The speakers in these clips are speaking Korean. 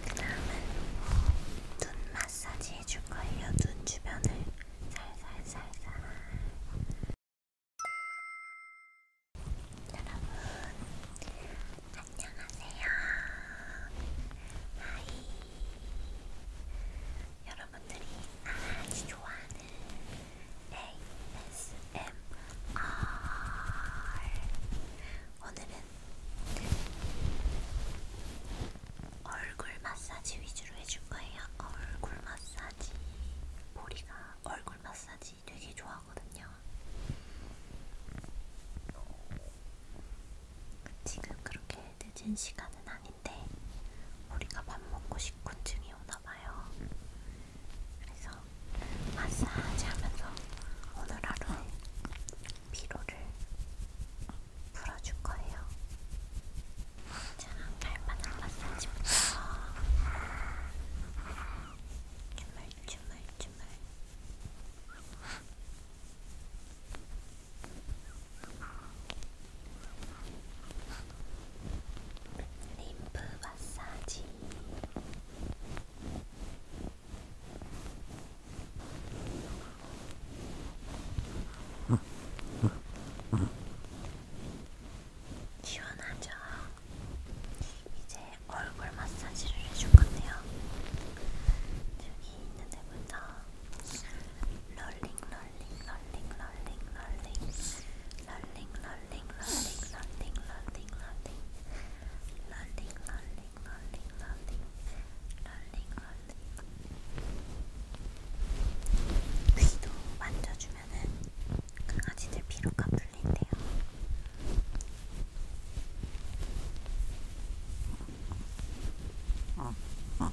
그 다음은 눈 마사지 해줄 거예요. 눈 주변을 살살살살. 여러분, 안녕하세요. 하이. 여러분들이 아주 좋아하는 ASMR 오늘은 얼굴 마사지 위주로 해줄 거예요. 얼굴 마사지 보리가 얼굴 마사지 되게 좋아하거든요. 지금 그렇게 늦은 시간은 아닌데 우리가 밥 먹고 식곤증이 오나봐요. 그래서 마사지 하면서 오늘 하루 피로를 풀어줄 거예요. 자, 발바닥 마사지부터. 주물, 주물, 주물. 림프 마사지 시원하죠? 이제 얼굴 마사지를 해줄 건데요. 여기 있는 데부터 롤링 롤링 롤링 롤링 롤링 롤링 롤링 롤링 롤링 롤링 롤링 롤링 롤링 롤링 롤링 롤링 롤링 귀도 만져주면은 강아지들 피로가 풀린대요. 어, 어.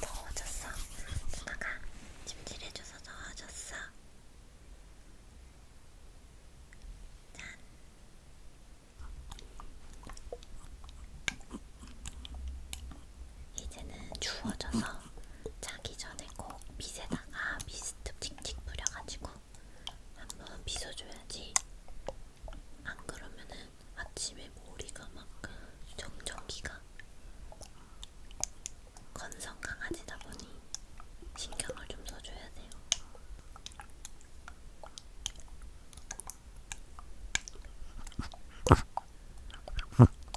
더워졌어. 누나가 찜질해줘서 더워졌어. 짠. 이제는 추워져서 자기 전에 꼭 빗에다가 빗 시스템 틱틱 뿌려가지고 한번 빗어줘야지. 안 그러면은 아침에 머리가 막 그 정전기가 건성 강아지다 보니 신경을 좀 써줘야 돼요.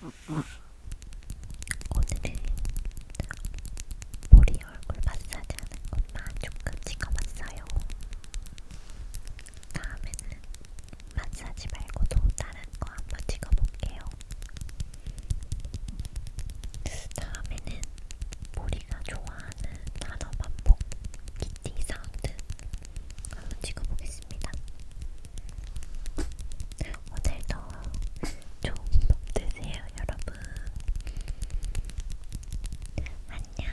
오늘은 머리 얼굴 마사지 하는 것만 조금 찍어봤어요. 다음에는 마사지 말고도 다른 거 한번 찍어볼게요. 다음에는 머리가 좋아하는 단어 반복 D 사운드 한번 찍어보겠습니다. 오늘도 좋은 밤 되세요, 여러분. 안녕.